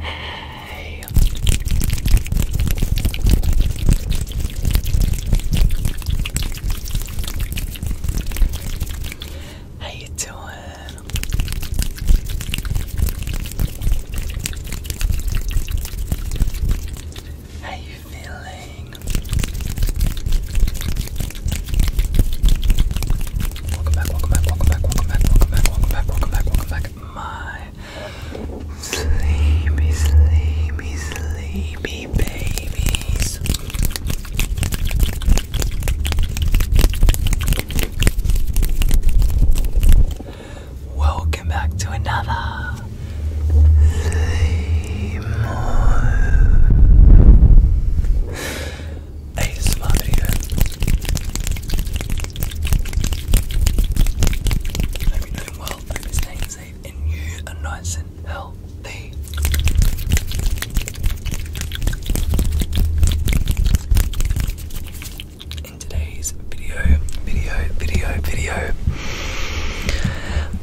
Hey. How you doing? How you feeling? Welcome back, welcome back, welcome back, welcome back, welcome back, welcome back, welcome back, welcome back. My sleepy, sleepy, sleepy babies. Welcome back to another sleep mode. ASMR video. Hope you're doing well, hope you're staying safe and you are nice and healthy. In today's video, video, video, video,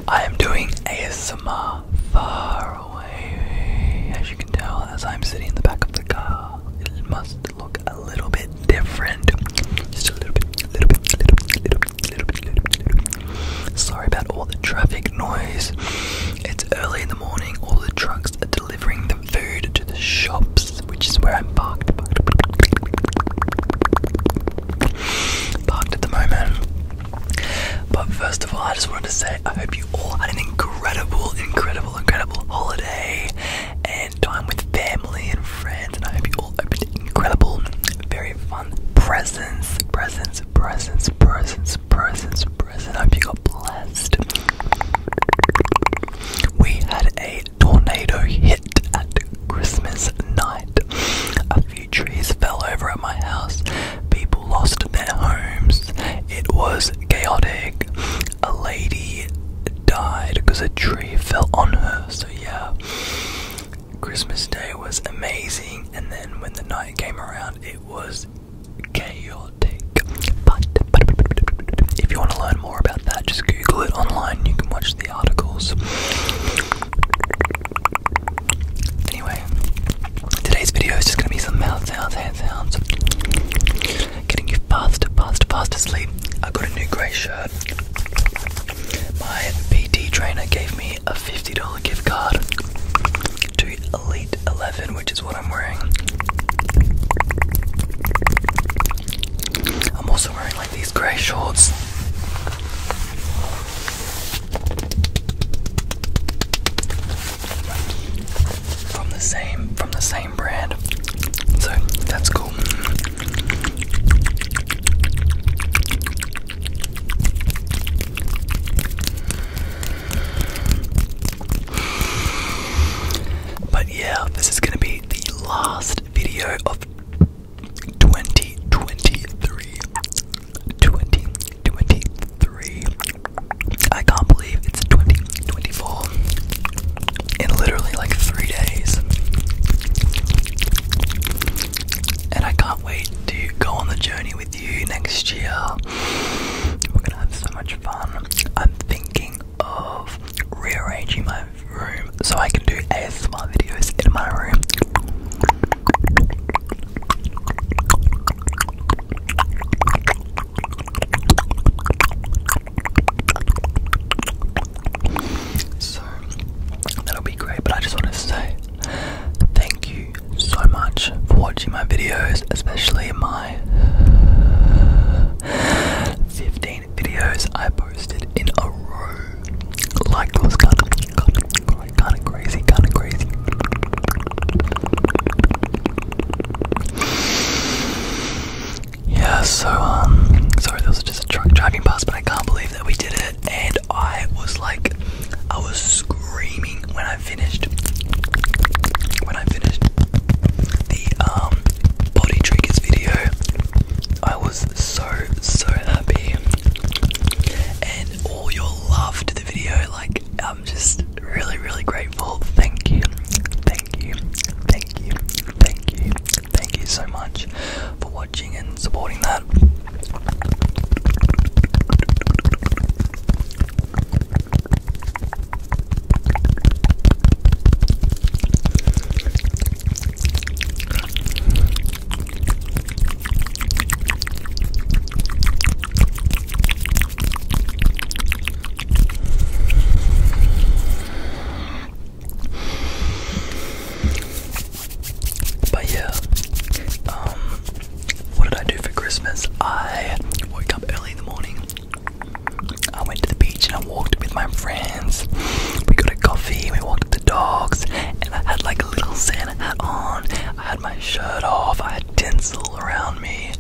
I am doing ASMR far as you can tell, as I'm sitting in the back of the car, it must look a little bit different. Just a little bit, little bit, little bit, little bit, little bit, little bit, Sorry about all the traffic noise. It's early in the morning. All the trucks are delivering the food to the shops, which is where I'm parked. Parked, at the moment. But first of all, I just wanted to say I hope you all had an incredible, incredible, incredible holiday and time with family and friends. And I hope you all opened incredible, very fun presents, presents, presents, presents, presents, presents. I hope you got blessed. We had a tornado hit at Christmas night. A few trees fell over at my house. People lost their homes. It was chaotic. A lady died because a tree fell on her, so yeah. Christmas Day was amazing, and then when the night came around, it was chaotic. But, if you want to learn more about that, just Google it online. You can watch the articles. Anyway, today's video is just going to be some mouth sounds, hand sounds getting you fast, fast, fast asleep. I got a new grey shirt. My PT trainer gave me a $50 gift card to Elite 11, which is what I'm wearing. I'm also wearing like these grey shorts from the same from the same brand. So that's cool. But yeah, this is gonna be the last video of 2023. I can't believe it's 2024 in literally like three days. And I can't wait to go on the journey with you next year. We're gonna have so much fun. I'm thinking of rearranging my room so I can do ASMR videos in my room. So that'll be great, but I just want to say thank you so much for watching my videos, especially my 15 videos I posted in a row. Like was kind of, kind of crazy, kind of crazy. Yeah, so, um, sorry, there was just a truck driving past, but I can't believe that we did it. And I was like, I was screaming when I finished. When I finished the, um, body triggers video, I was so, so happy. And all your love to the video, like, I'm just really, really grateful. Thank you, thank you, thank you, thank you, thank you so much for watching and supporting that. But yeah, um, what did I do for Christmas? I woke up early in the morning. I went to the beach and I walked with my friends. We got a coffee, we walked the dogs, and I had like a little Santa hat on. I had my shirt off, I tinsel around me.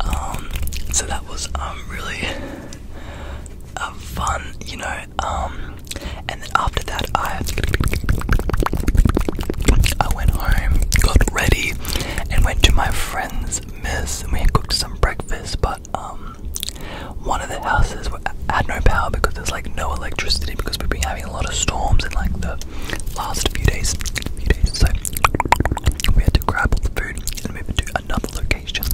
Um, so that was um, really uh, fun, you know. Um, and then after that, I I went home, got ready, and went to my friend's miss, and we cooked some breakfast. But one of the houses had no power because there's like no electricity because we've been having a lot of storms in like the last few days. Few days. So we had to grab all the food and move to another location.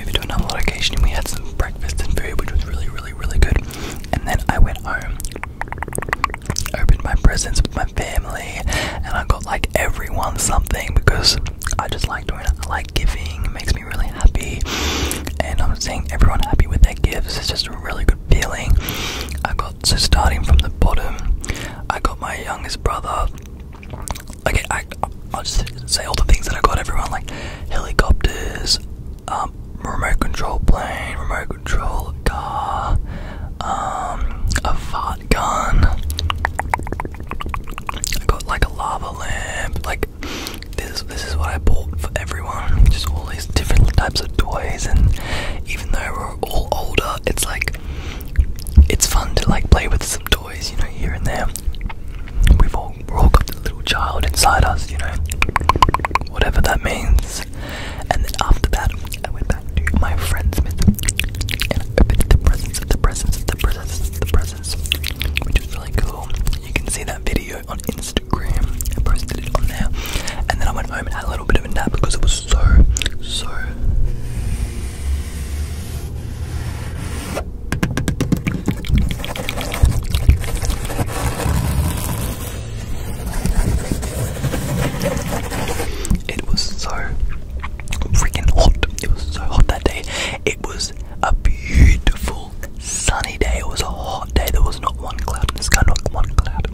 We had to another location and we had some breakfast and food, which was really, really really, good. And then I went home, opened my presents with my family, and I got like everyone something because I just like doing it. I like giving, it makes me really happy. And I'm seeing everyone happy with their gifts. It's just a really good feeling. I got so starting from the bottom, I got my youngest brother. Okay, I I'll just say all the things that I got everyone like helicopters, um, remote control plane, remote control car, um, a fart gun. I got like a lava lamp. Like this, this is what I bought for everyone. Just all these different types of toys, and even though we're all older, it's like it's fun to like play with some toys, you know, here and there. We've all woke up the little child inside us, you know, whatever that means. And then after that, I went back to my friend's myth and I opened the presents, the presents, the presents, the presents, which is really cool. You can see that video on Instagram. I posted it on there. And then I went home and had a little bit of a nap because it was so, so. It was so freaking hot. It was so hot that day. It was a beautiful sunny day. It was a hot day. There was not one cloud in the sky, not one cloud.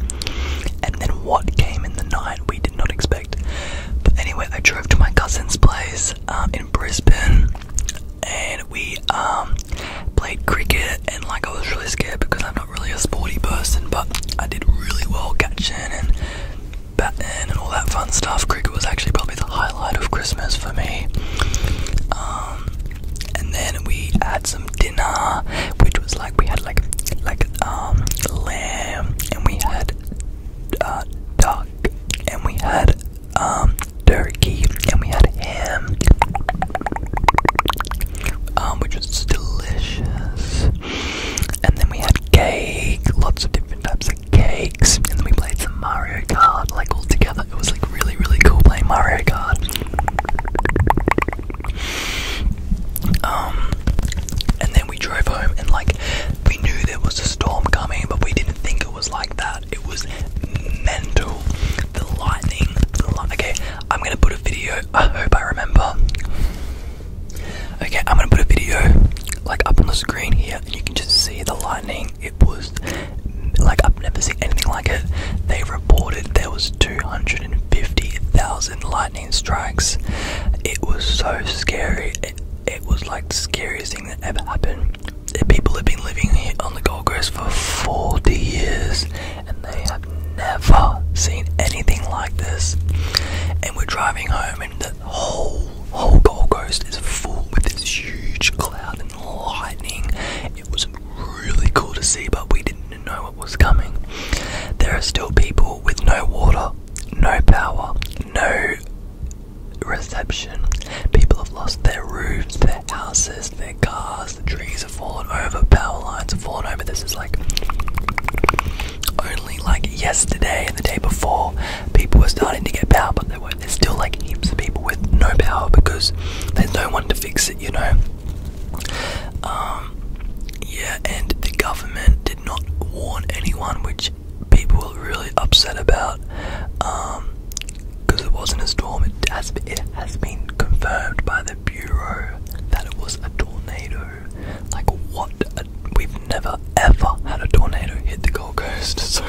And then what came in the night we did not expect. But anyway, I drove to my cousin's place um, in Brisbane and we um played cricket, and like I was really scared because I'm not really a sporty person, but I did really well catching and batting and all that fun stuff. Cricket was actually probably the highlight of Christmas for me. Um, and then we had some dinner, which was like we had like like um lamb, and we had uh, duck, and we had um, turkey, and we had ham, um, which was delicious. And then we had cake, lots of different types of cakes. And then we played some Mario Kart, like all together. It was like really, really cool playing Mario Kart. Um, and then we drove home, and like we knew there was a storm coming, but we didn't think it was like that. It was mental. The lightning. The light. Okay, I'm gonna put a video. I hope I remember. Okay, I'm gonna put a video like up on the screen here, and you can just see the lightning. It was like I've never seen anything like it. They reported there was 250,000 lightning strikes. It was so scary. it was like the scariest thing that ever happened people have been living here on the Gold Coast for 40 years and they have never seen anything like this. And we're driving home, and the whole whole Gold Coast is full with this huge cloud and lightning. It was really cool to see, but we didn't know what was coming. There are still people with no water, no power, no reception. People have lost their roofs, their houses, their cars, the trees have fallen over, power lines have fallen over. This is like only like yesterday and the day before people were starting to get power, but there were there's still like heaps of people with no power because there's no one to fix it, you know. Um yeah, and the government did not warn anyone, which people were really upset about. Um because it wasn't a storm. It has, been confirmed by the bureau that it was a tornado. Like what? we've never ever had a tornado hit the Gold Coast, so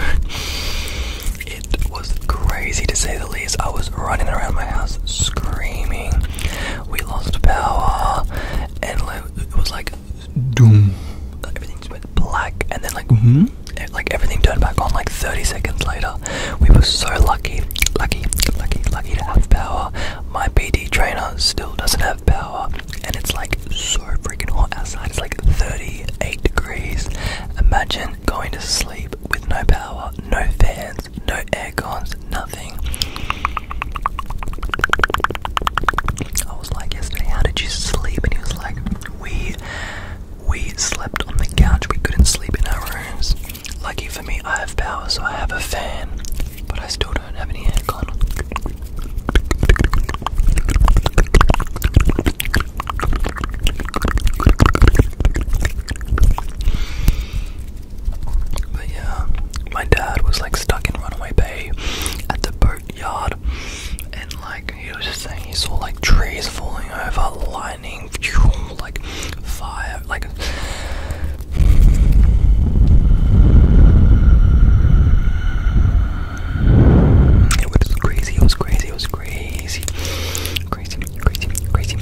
it was crazy to say the least. I was running around my house screaming. We lost power, and it was like doom. Everything went black, and then like -hmm, Mm-hmm. like everything turned back on like 30 seconds later. We were so lucky, lucky, lucky, lucky to have power. My BD trainer still doesn't have power, and it's like so freaking hot outside. It's like 38 degrees. Imagine going to sleep with no power, no fans, no aircons, nothing. I was like yesterday, how did you sleep? And he was like, we we slept on the couch, we couldn't sleep in our rooms. Lucky for me, I have power, so I have a fan, but I still don't have any aircon. But yeah, my dad was like stuck in Runaway Bay at the boatyard, and like he was just saying he saw like trees falling over, lightning, like fire, like. It was crazy, it was crazy, it was crazy. Crazy, crazy, crazy.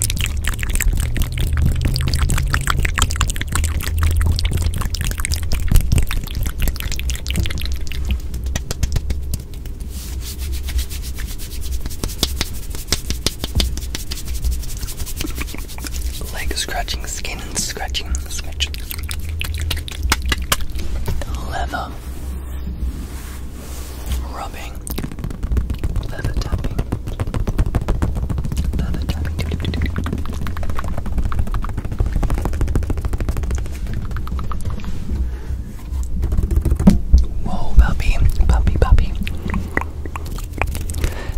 Leg scratching, skin and scratching, scratching. Leather rubbing, leather tapping, leather tapping. Whoa, puppy, puppy, puppy.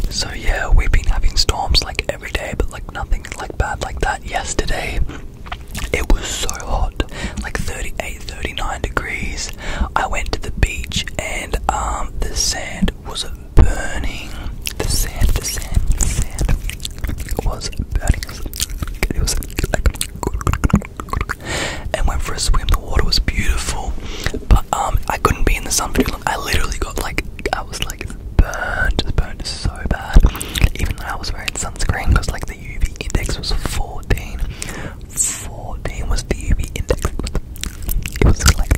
So yeah, we've been having storms like every day, but like nothing like bad like that. Yesterday, it was so hot, like 38, 39 degrees. I went to the beach and um, the sand was burning. The sand, the sand, the sand was burning and went for a swim. The water was beautiful, but um, I couldn't be in the sun for too long. I literally got like, I was like burned, just burned so bad. Even though I was wearing sunscreen, because like the UV index was 14. 14 was the UV index. It was like,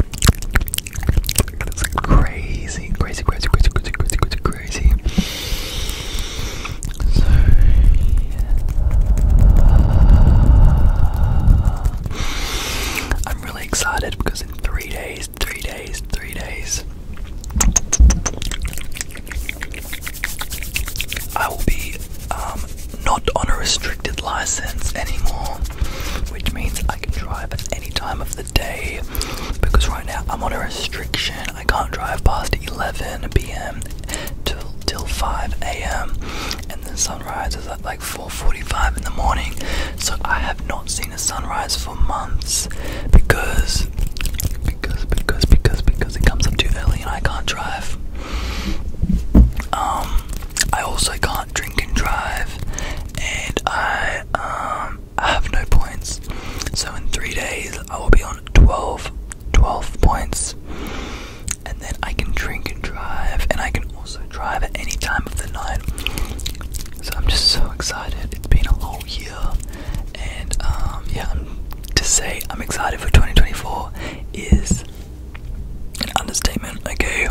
it crazy, crazy, crazy, crazy, crazy, crazy, crazy, I'm really excited because in three days, three days, three days, I will be um, not on a restricted license anymore, which means I can drive at any time of the day because right now I'm on a restriction I can't drive past 11 p.m. till till 5 a.m. and the sunrise is at like 4:45 in the morning. So I have not seen a sunrise for months because because because because because it comes up too early and I can't drive. Um, I also can't drink and drive, and I um I have no points. So in three days I will be on 12 12 points. And then I can drink and drive, and I can also drive at any time of the night. So I'm just so excited. It's been a whole year, and um, yeah, to say I'm excited for 2024 is an understatement, okay?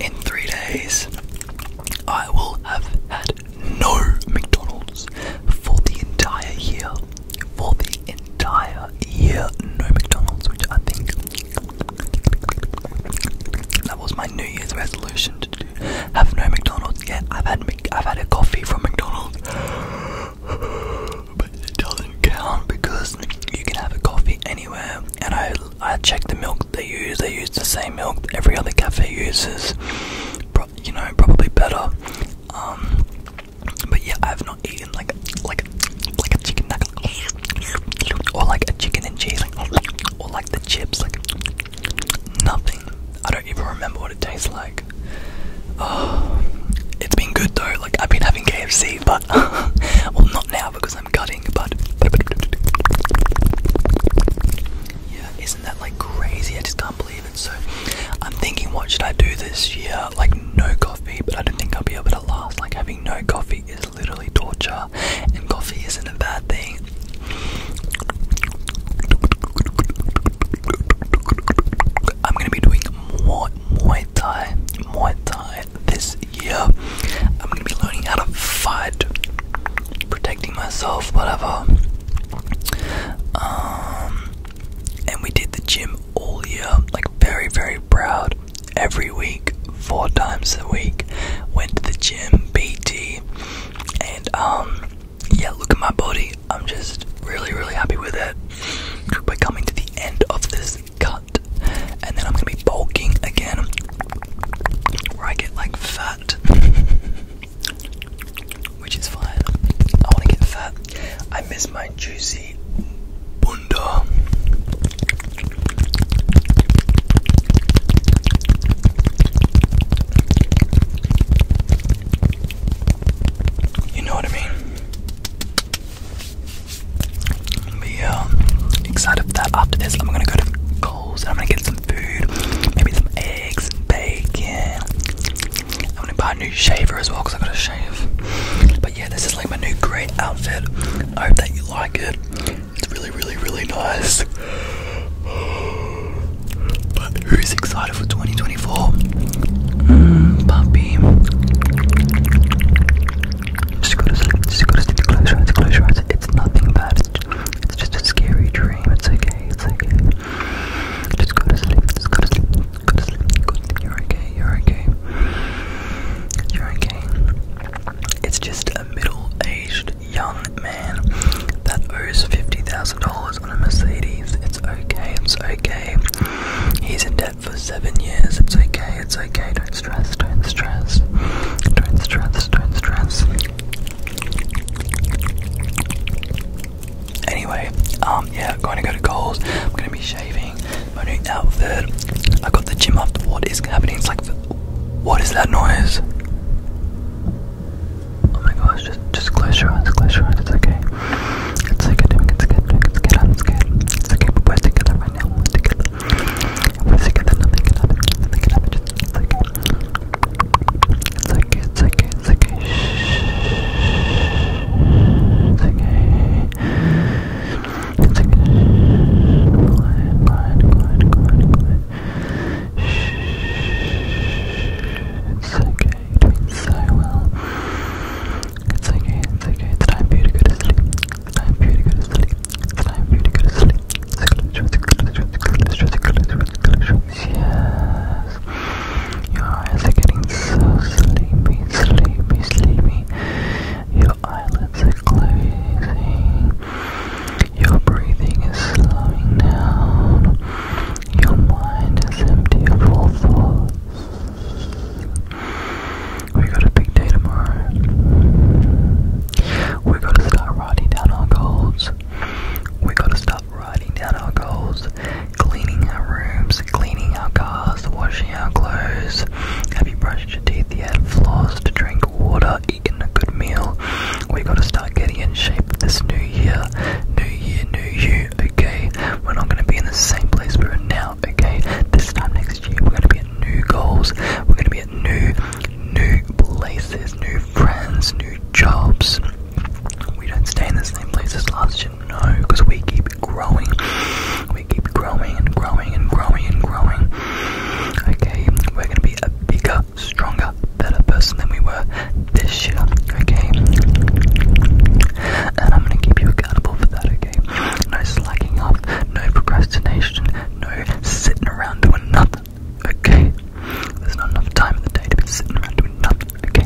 In three days, I will have had no McDonald's for the entire year. For the entire year, no McDonald's, which I think that was my New Year's resolution to do. Have no McDonald's yet. I've had I've had a coffee from McDonald's but it doesn't count because you can have a coffee anywhere. And I I check the milk they use. They use the same milk that every other cafe uses. you know, probably better. Um, but yeah, I've not eaten like like like a chicken nugget or like a chicken and cheese or like the chips like nothing. I don't even remember what it tastes like like, oh, it's been good though. Like I've been having KFC, but well, not now because I'm cutting. But yeah, isn't that like crazy? I just can't believe it. So I'm thinking, what should I do this year? Like no coffee, but I don't think I'll be able to last. Like having no coffee is literally torture, and coffee isn't a bad thing. I'm gonna be doing more Muay Thai, Muay Thai this year. I'm gonna be learning how to fight, protecting myself, whatever. Um, and we did the gym all year, like very, very proud. Every week, four times a week, went to the gym, BT, and um, yeah, look at my body. I'm just really, really happy with it. We're coming to the end of this cut, and then I'm gonna be bulking again, where I get like fat, which is fine. I wanna get fat. I miss my juicy bunda. You know what I mean? yeah, excited that. After this, I'm gonna go to Coles and I'm gonna get some food, maybe some eggs and bacon. I'm gonna buy a new shaver as well because I gotta shave. But yeah, this is like my new great outfit. I hope that you like it. It's really, really, really nice. But who's excited for 2024? Hmm, puppy. Just go to sleep, just go to sleep, close your eyes, close your eyes. It's nothing bad, it's just a scary dream. It's okay, it's okay. Just go to sleep, just go to sleep, go to sleep, go to sleep. You're okay, you're okay. You're okay. It's just a middle aged young man that owes $50,000 house on a Mercedes. It's okay, it's okay. He's in debt for seven years. It's okay, it's okay. Don't stress, don't stress. Don't stress, don't stress. Anyway, um, yeah, I'm going to go to Coles. I'm going to be shaving my new outfit. I got the gym up. What is happening? It's like, what is that noise? Oh my gosh, just just close your eyes, close your eyes, it's okay. It's okay, doing it's good, doing it's good, I'm scared. It's okay, but we're together right now, we're together. We're together, nothing can happen, nothing can happen, just it's okay. It's okay, it's okay, it's okay. It's okay. It's okay. Quiet, quiet, quiet, quiet, quiet. It's okay. You're doing so well. It's okay, it's okay. It's time for you to go to sleep. It's time for you to go to sleep. It's time for you to go to sleep. Yes. Your eyes are getting so sleepy, sleepy, sleepy. Your eyelids are closing. Your breathing is slowing down. Your mind is empty of all thoughts. We got a big day tomorrow. We gotta start writing down our goals. We gotta start writing down our goals. Cleaning our rooms, cleaning our cars, washing our clothes. Have you brushed your teeth yet? Flossed, drink water, eaten a good meal. We gotta start getting in shape this new year. New year, new you, okay? We're not gonna be in the same place we're in now, okay? This time next year, we're gonna be at new goals, we're gonna be at new, new places, new friends, new jobs. We don't stay in the same place as last year, no, because we keep growing. We keep growing and growing and growing and growing. Okay, we're gonna be bigger, stronger better person than we were this year, okay? And I'm gonna keep you accountable for that, okay? No slacking off, no procrastination, no sitting around doing nothing, okay? There's not enough time in the day to be sitting around doing nothing, okay?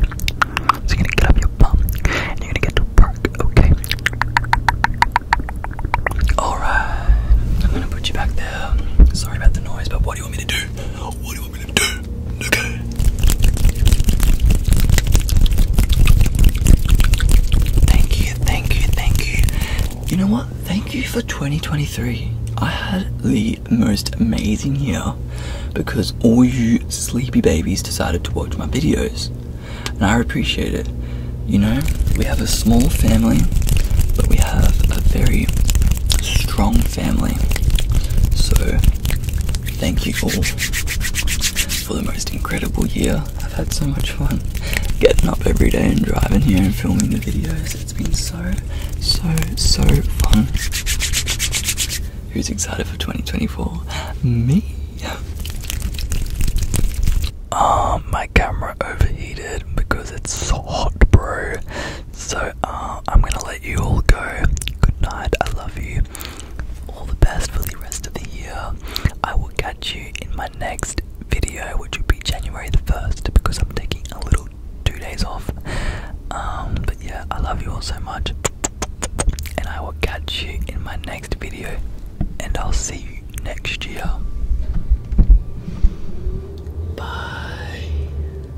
you're gonna get up your bum and you're gonna get to work, okay? Alright, I'm gonna put you back there. Sorry about the noise, but what do you want me to do? Thank you, thank you, thank you. You know what? Thank you for 2023. I had the most amazing year because all you sleepy babies decided to watch my videos. And I appreciate it. You know, we have a small family, but we have a very strong family. So Thank you all for the most incredible year. I've had so much fun getting up every day and driving here and filming the videos. It's been so, so, so fun. Who's excited for 2024? Me. Oh, my camera overheated because it's so hot, bro. So uh, I'm gonna let you all go. Good night. I love you. All the best for the rest of the year. I will catch you in my next video, which will be January the first, because I'm taking a little two days off. Um, but yeah, I love you all so much, and I will catch you in my next video, and I'll see you next year. Bye.